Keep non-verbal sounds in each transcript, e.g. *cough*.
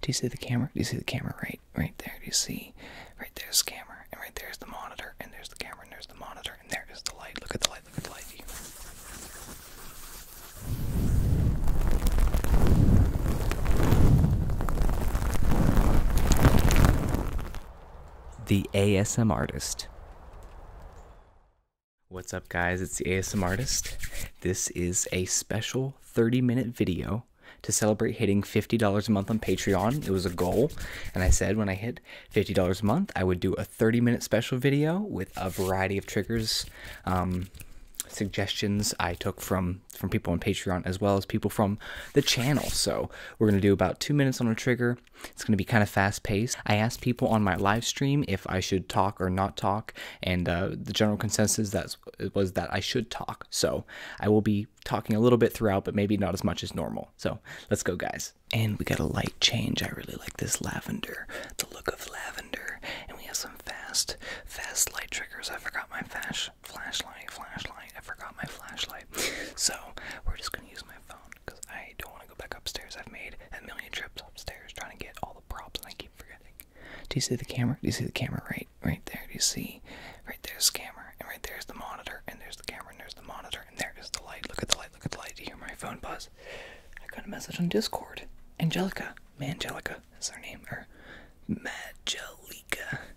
Do you see the camera? Do you see the camera right right there? Do you see right there's the camera and right there's the monitor and there's the camera and there's the monitor and there is the light. Look at the light, look at the light the ASM artist. What's up, guys? It's the ASM artist. This is a special 30 minute video to celebrate hitting $50 a month on Patreon. It was a goal, and I said when I hit $50 a month, I would do a 30 minute special video with a variety of triggers. Um, suggestions I took from from people on Patreon as well as people from the channel. So we're going to do about two minutes on a trigger. It's going to be kind of fast paced. I asked people on my live stream if I should talk or not talk, and uh, the general consensus that was that I should talk. So I will be talking a little bit throughout, but maybe not as much as normal. So let's go, guys. And we got a light change. I really like this lavender, the look of lavender. And we have some fast, fast light triggers. I forgot my flash flashlight, flashlight. I forgot my flashlight. *laughs* so we're just gonna use my phone because I don't want to go back upstairs. I've made a million trips upstairs trying to get all the props, and I keep forgetting. Do you see the camera? Do you see the camera right, right there? Do you see? Right there's the camera, and right there's the monitor, and there's the camera, and there's the monitor, and there is the light. Look at the light. Look at the light. Do you hear my phone buzz? I got a message on Discord. Angelica, Angelica, is her name, or Magelica.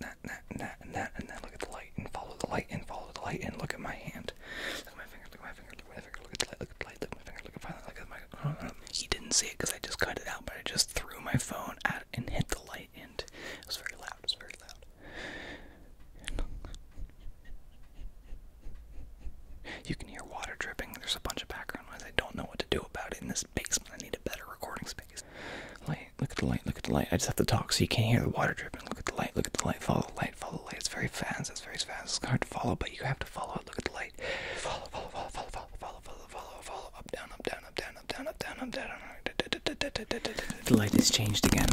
that, that, and that, and that, and then look at the light and follow the light and follow the light and look at my hand. Look at my finger, look at my finger, look at my finger, look at the light, look at the light, look at my finger, look at my finger, look at my um, He didn't see it because I just cut it out, but I just threw my phone at and hit the light and it was very loud, it was very loud. You can hear water dripping. There's a bunch of background noise. I don't know what to do about it in this basement. I need a better recording space light. Look at the light. Look at the light. I just have to talk so you can't hear the water dripping. Look at the light. Look at the light. Follow the light. Follow the light. It's very fast. It's very fast. It's hard to follow, but you have to follow it. Look at the light. Follow, follow, follow, follow, follow, follow, follow, follow, follow. Up, down, up, down, up, down, up, down, up, down, up, down. The light is changed again.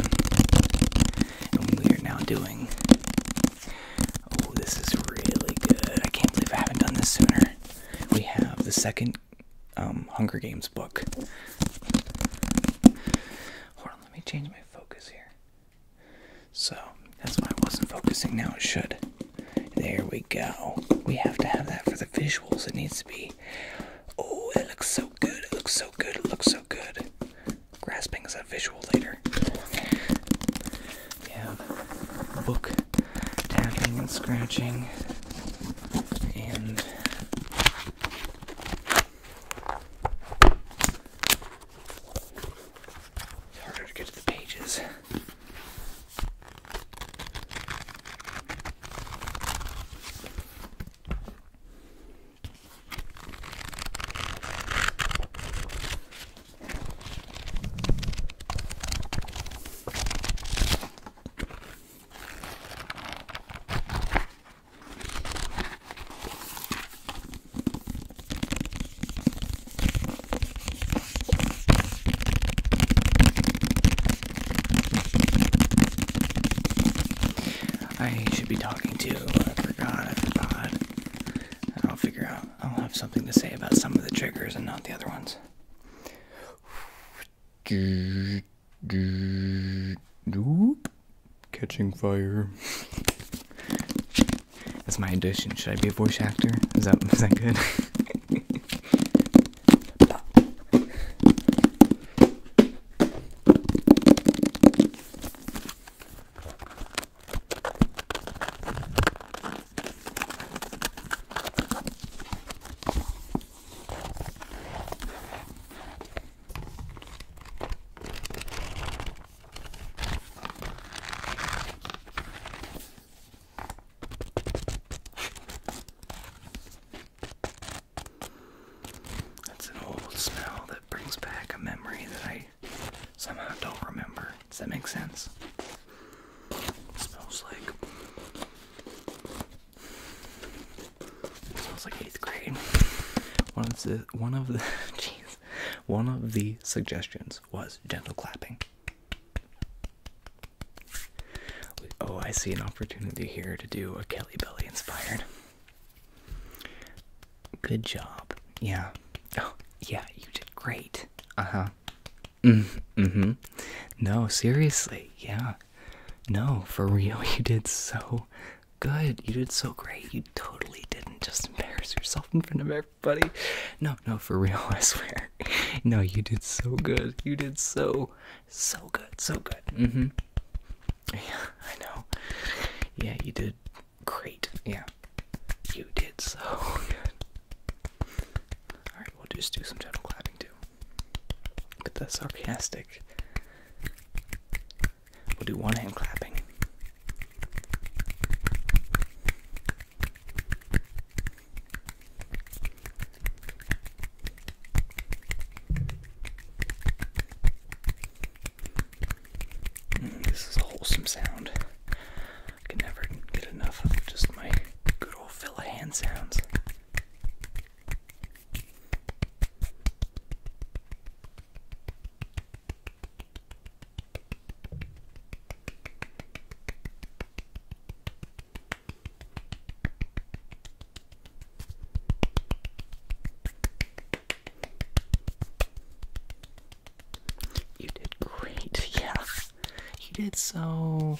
And we are now doing. Oh, this is really good. I can't believe I haven't done this sooner. We have the second um, Hunger Games book. Hold on, let me change my focus here. So that's why I wasn't focusing. Now it should. There we go. We have to have that for the visuals. It needs to be. Oh, it looks so good. It looks so good. It looks so good. Grasping is a visual later. We Yeah, book tapping and scratching and it's harder to get to the pages. I should be talking to. I forgot. I forgot. I'll figure out. I'll have something to say about some of the triggers and not the other ones. Doop. Catching fire. That's my addition. Should I be a voice actor? Is that is that good? That's an old smell that brings back a memory that I somehow don't remember. Does that make sense? smells like it smells like eighth grade. One of the one of the *laughs* one of the suggestions was gentle clapping. Oh, I see an opportunity here to do a Kelly Belly inspired. Good job. Yeah. Oh, yeah, you did great. Uh huh. mm hmm. No, seriously. Yeah. No, for real, *laughs* you did so good. You did so great. You totally didn't just embarrass yourself in front of everybody. No, no, for real, *laughs* I swear. No, you did so good. You did so, so good, so good. Mm hmm. Yeah, I know. Yeah, you did great. Yeah, you did so *laughs* good. Alright, we'll just do some gentle clapping too. Look at that sarcastic. We'll do one hand clapping. Mm, this is a wholesome sound. I can never get enough of just my good old fill of hand sounds. You did great, *laughs* yeah. You did so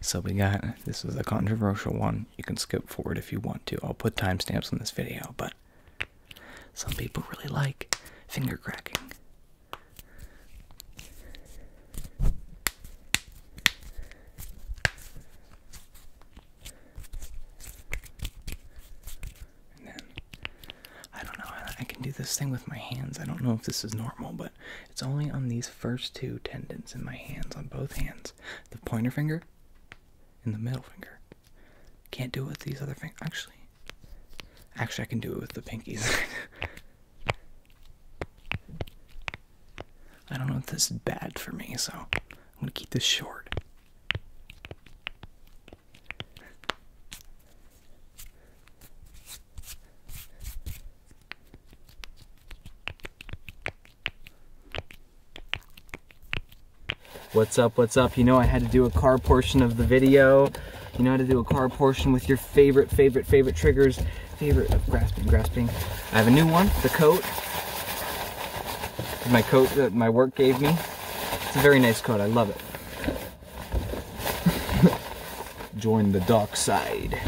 So we got this is a controversial one. You can skip forward if you want to. I'll put timestamps on this video, but some people really like finger cracking. I don't know. I can do this thing with my hands. I don't know if this is normal, it's only on these first two tendons in my hands, on both hands. The pointer finger and the middle finger. Can't do it with these other fingers. Actually, actually, I can do it with the pinkies. *laughs* I don't know if this is bad for me, so I'm gonna keep this short. What's up, what's up? You know I had to do a car portion of the video. You know how to do a car portion with your favorite, favorite, favorite triggers. Favorite of oh, grasping, grasping. I have a new one, the coat. My coat that my work gave me. It's a very nice coat, I love it. *laughs* Join the dark side.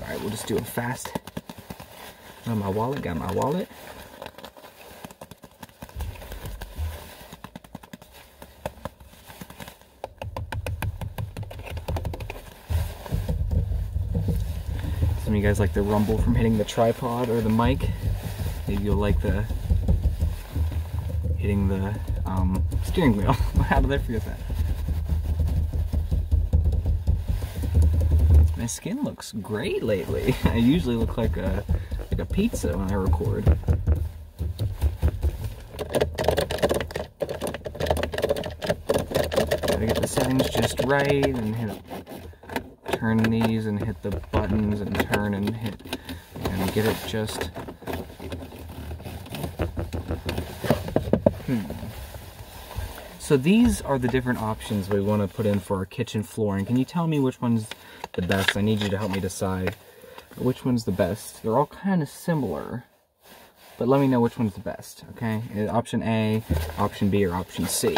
All right, we'll just do it fast. Got my wallet, got my wallet. Some of you guys like the rumble from hitting the tripod or the mic. Maybe you'll like the hitting the um, steering wheel. How do I forget that? My skin looks great lately. *laughs* I usually look like a like a pizza when I record. Gotta get the settings just right and hit turn these and hit the buttons and turn and hit and get it just Hmm. So these are the different options we want to put in for our kitchen flooring. Can you tell me which one's the best? I need you to help me decide which one's the best. They're all kind of similar, but let me know which one's the best, okay? Uh, option A, option B, or option C.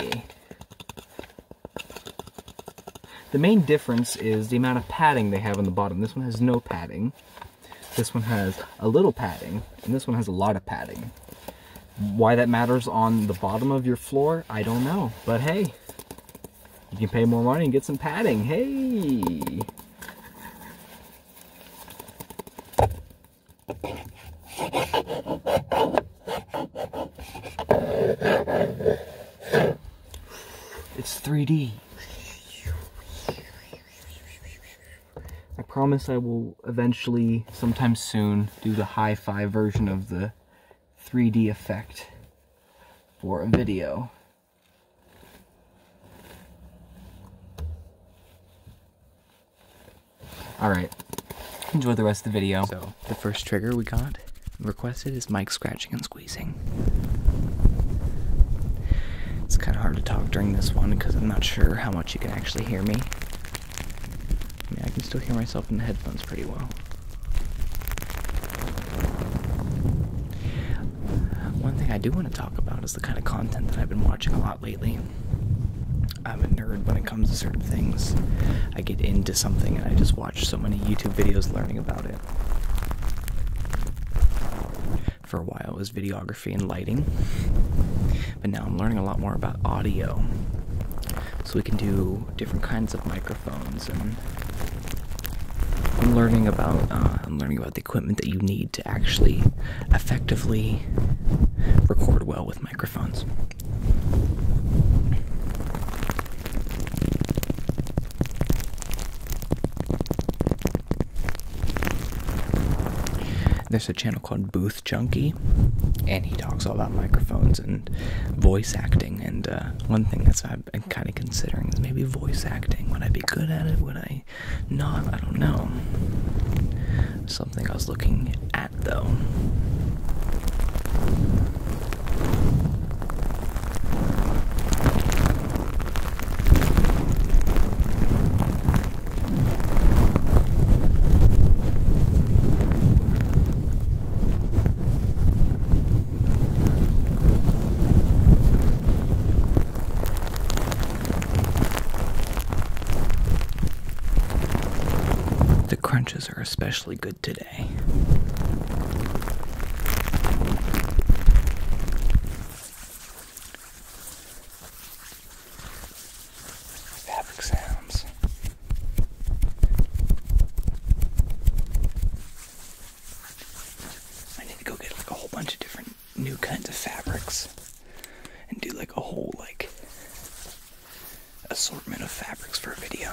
The main difference is the amount of padding they have on the bottom. This one has no padding. This one has a little padding, and this one has a lot of padding. Why that matters on the bottom of your floor, I don't know. But hey, you can pay more money and get some padding. Hey! It's 3D. I promise I will eventually, sometime soon, do the hi-fi version of the 3D effect for a video. Alright, enjoy the rest of the video. So, the first trigger we got requested is mic scratching and squeezing. It's kind of hard to talk during this one because I'm not sure how much you can actually hear me. I mean, I can still hear myself in the headphones pretty well. One thing I do want to talk about is the kind of content that I've been watching a lot lately. I'm a nerd when it comes to certain things. I get into something and I just watch so many YouTube videos learning about it for a while was videography and lighting but now i'm learning a lot more about audio so we can do different kinds of microphones and i'm learning about uh, i'm learning about the equipment that you need to actually effectively record well with microphones there's a channel called Booth Junkie, and he talks all about microphones and voice acting. And uh, one thing that's i am kind of considering is maybe voice acting. Would I be good at it? Would I not? I don't know. Something I was looking at though. The crunches are especially good today fabric sounds. I need to go get like a whole bunch of different new kinds of fabrics and do like a whole like assortment of fabrics for a video.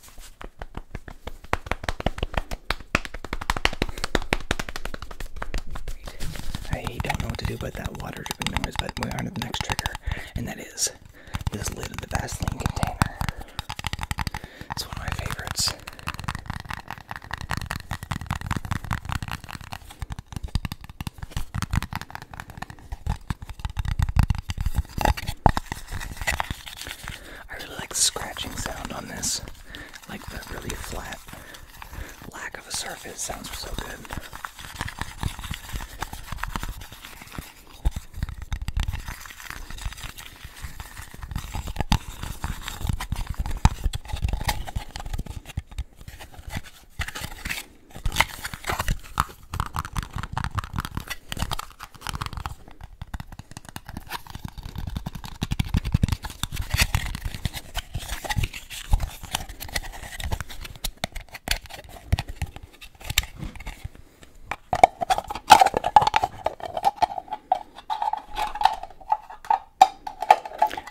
I don't know what to do about that water dripping noise, but we're on to the next trigger, and that is this lid of the Vaseline container. It's one of my favorites. I really like the scratching sound on this. like the really flat lack of a surface sounds so good.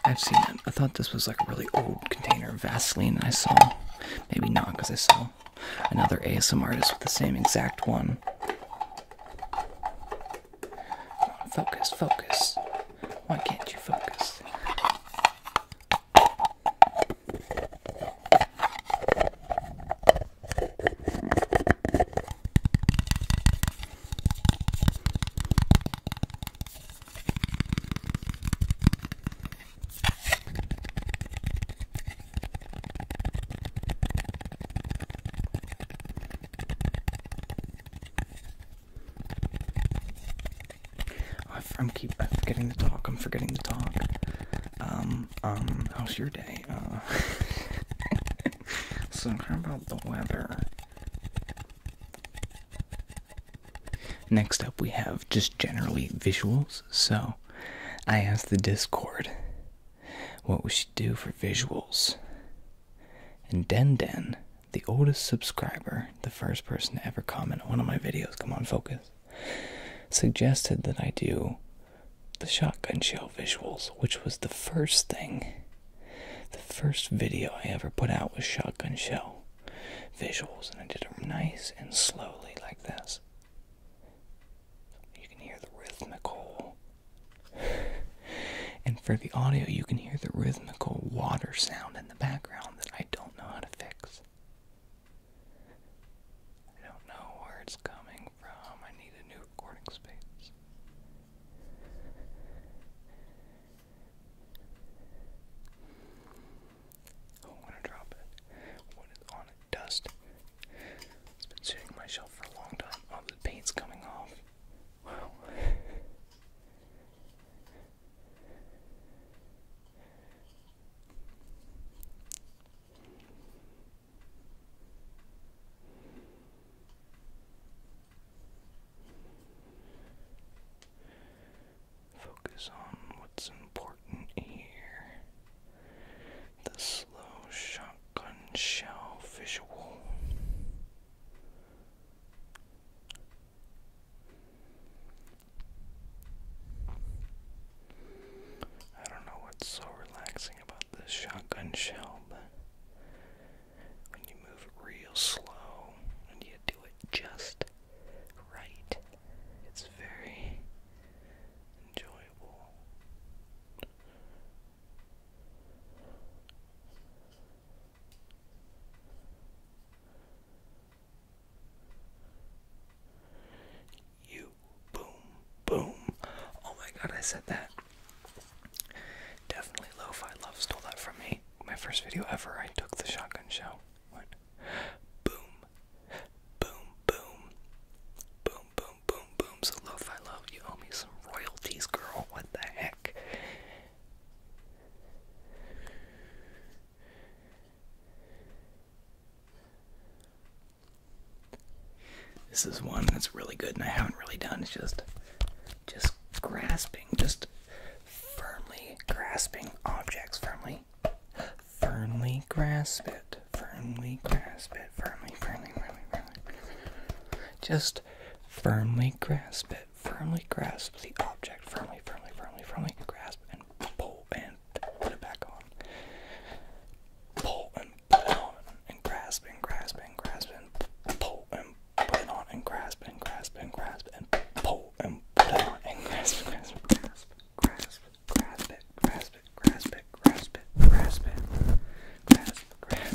I've seen it. I thought this was like a really old container of Vaseline I saw. Maybe not because I saw another ASM artist with the same exact one. Focus, focus. Why can't you focus? Oh, I am keep I'm forgetting to talk. I'm forgetting to talk. Um, um, how's your day? Uh, *laughs* so how about the weather? Next up, we have just generally visuals. So, I asked the Discord what we should do for visuals. And Den Den, the oldest subscriber, the first person to ever comment on one of my videos, come on, focus, suggested that I do the shotgun shell visuals, which was the first thing, the first video I ever put out was shotgun shell visuals. And I did them nice and slowly like this. You can hear the rhythmical. and for the audio, you can hear the rhythmical water sound in the background that I don't know how to fix. I don't know where it's coming from. I need a new recording space. Oh, I'm to drop it. What is on it? dust. It's been sitting on my shelf for a long time. All the paint's coming off. Focus on what's important here the slow shotgun shell visual. I don't know what's so relaxing about this shotgun shell, but when you move real slow and you do it just right, it's very enjoyable. You boom boom. Oh my god, I said that. Definitely lo Love stole that from me. My first video ever, I took the shotgun show. What? Boom. Boom, boom. Boom, boom, boom, boom. So, Loaf, I love you. Owe me some royalties, girl. What the heck? This is one that's really good and I haven't really done. It's just just grasping, just firmly grasping objects firmly firmly grasp it, firmly grasp it, firmly, firmly, firmly, firmly. Just firmly grasp it, firmly grasp the object, firmly, firmly, firmly, firmly grasp and pull and put it back on. Pull and put it on and grasp and grasp and grasp and pull and put it on and grasp and grasp and grasp and pull and put it on and grasp, grasp, grasp, grasp grasp it, grasp it, grasp it, grasp it, grasp it, grasp, grasp.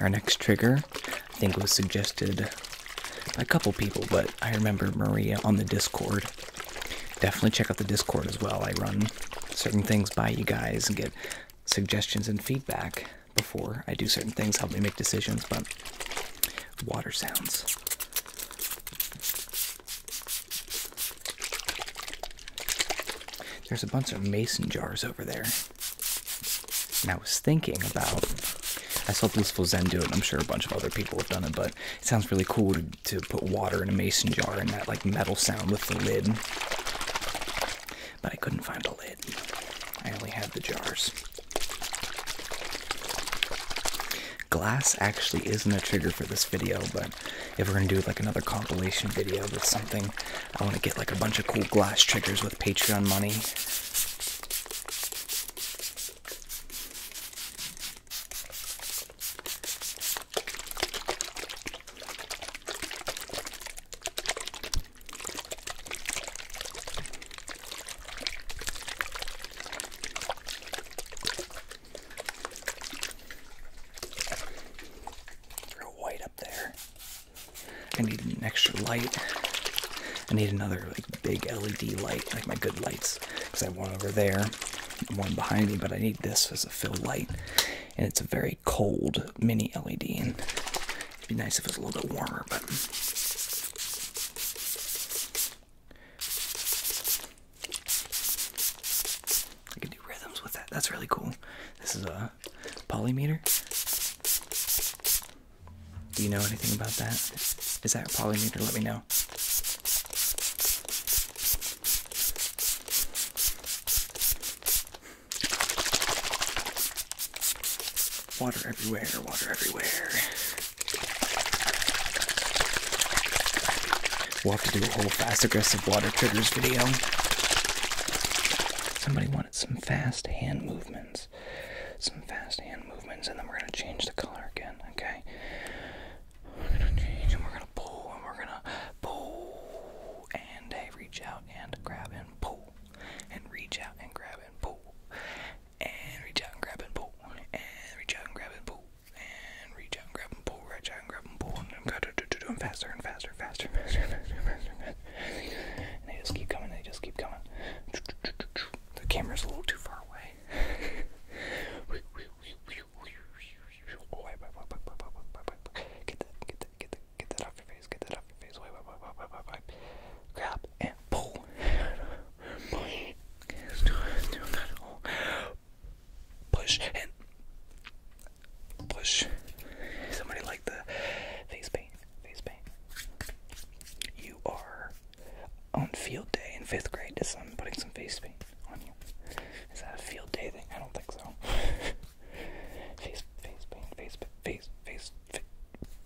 Our next trigger, I think was suggested by a couple people, but I remember Maria on the Discord. Definitely check out the Discord as well. I run certain things by you guys and get suggestions and feedback before I do certain things, help me make decisions, but water sounds. There's a bunch of mason jars over there. And I was thinking about. I saw Blissful Zen do and I'm sure a bunch of other people have done it, but it sounds really cool to, to put water in a mason jar and that like metal sound with the lid. But I couldn't find a lid. I only had the jars. Glass actually isn't a trigger for this video, but if we're gonna do like another compilation video with something, I wanna get like a bunch of cool glass triggers with Patreon money white up there. I need an extra light. I need another like big LED light, like my good lights, because I have one over there, one behind me, but I need this as a fill light. And it's a very cold mini LED, and it'd be nice if it was a little bit warmer, but I can do rhythms with that. That's really cool. This is a poly meter. Do you know anything about that? Is that a poly meter? Let me know. Water everywhere, water everywhere. We'll have to do a whole fast aggressive water triggers video. Somebody wanted some fast hand movements. Some fast hand movements, and then we're gonna change the color again, okay? We're gonna change and we're gonna pull and we're gonna pull and reach out and grab and pull and reach out and grab and pull and reach out and grab and pull, and reach out and grab and pull, and reach out and grab and pull, reach out and grab and pull, and do them faster and faster, faster, *laughs* faster, faster, faster, faster. And they just keep coming, they just keep coming. The camera's a little too far away. Get that, get that, get that, get that off your face, get that off your face. Wait, and pull. Push and push. Somebody like the face paint. Face paint. You are on field day in fifth grade. Is I'm putting some face paint on you. Is that a field day thing? I don't think so. *laughs* face, face paint. Face, face, face, face,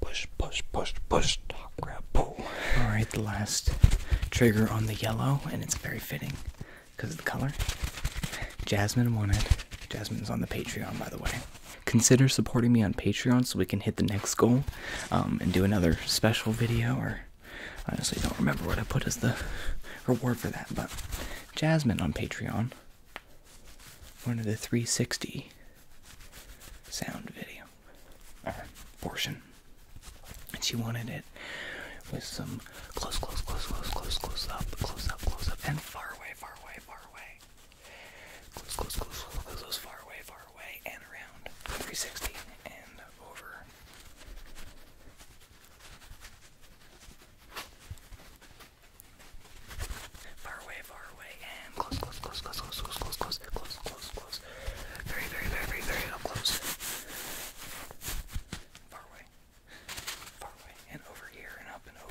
Push, push, push, push, talk, grab, pull. Alright, the last trigger on the yellow, and it's very fitting because of the color. Jasmine wanted. Jasmine's on the Patreon, by the way. Consider supporting me on Patreon so we can hit the next goal um, and do another special video. Or honestly, don't remember what I put as the reward for that. But Jasmine on Patreon one of the 360 sound video portion. And she wanted it with some close, close, close, close, close, close up, close up, close up, and far away, far away, far away. Close, close, close, close, close, close far away, far away, and around 360 and over. Far away, far away, and close, close, close, close, close, close, close, close, close, close, close. Very, very, very, very, very up close. Far away, far away, and over here, and up and over.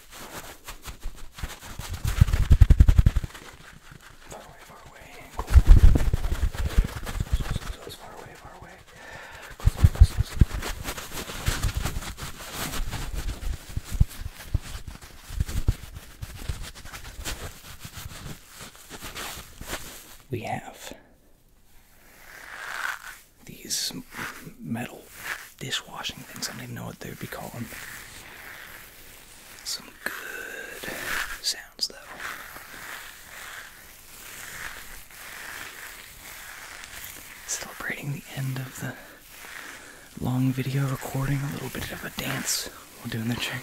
Far away, far away, We have these metal dishwashing things. I don't even know what they would be called. Some good sounds, though. Celebrating the end of the long video recording, a little bit of a dance while doing the trigger.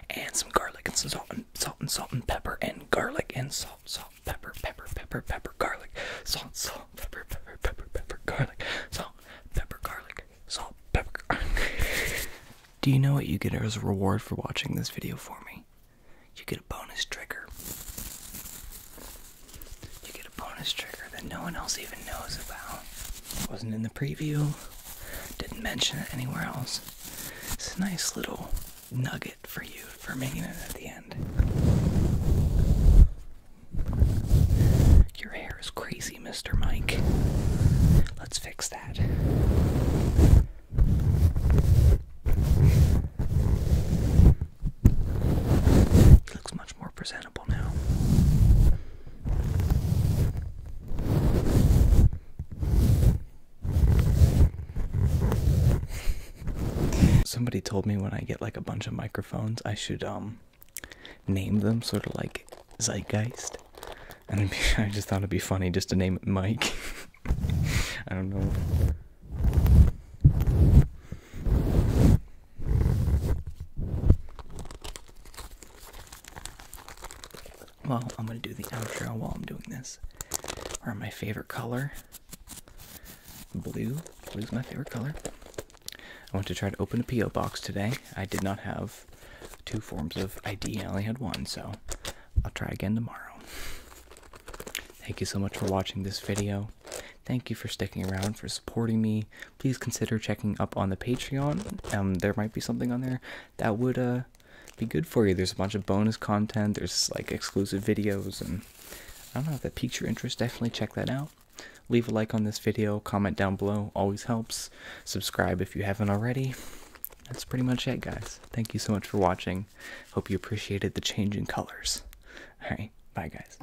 and some garlic and some salt and salt and salt and pepper and garlic and salt, salt, pepper, pepper, pepper, pepper, garlic, salt, salt, pepper, pepper, pepper, pepper, garlic, salt, pepper, garlic, salt, pepper. *laughs* Do you know what you get as a reward for watching this video for me? You get a bonus trigger. You get a bonus trigger that no one else even knows about. Wasn't in the preview, didn't mention it anywhere else. It's a nice little nugget for you for making it at the end. Your hair is crazy, Mr. Mike. Let's fix that. He looks much more presentable now. Somebody told me when I get like a bunch of microphones, I should um name them sort of like Zeitgeist, and *laughs* I just thought it'd be funny just to name it Mike. *laughs* I don't know. Well, I'm gonna do the outro while I'm doing this. Or my favorite color. Blue. Blue's my favorite color. I want to try to open a P.O. box today. I did not have two forms of ID, I only had one, so I'll try again tomorrow. Thank you so much for watching this video. Thank you for sticking around, for supporting me. Please consider checking up on the Patreon. Um, there might be something on there that would uh, be good for you. There's a bunch of bonus content, there's like exclusive videos, and I don't know if that piques your interest. Definitely check that out. Leave a like on this video, comment down below, always helps. Subscribe if you haven't already. That's pretty much it, guys. Thank you so much for watching. Hope you appreciated the change in colors. Alright, bye, guys.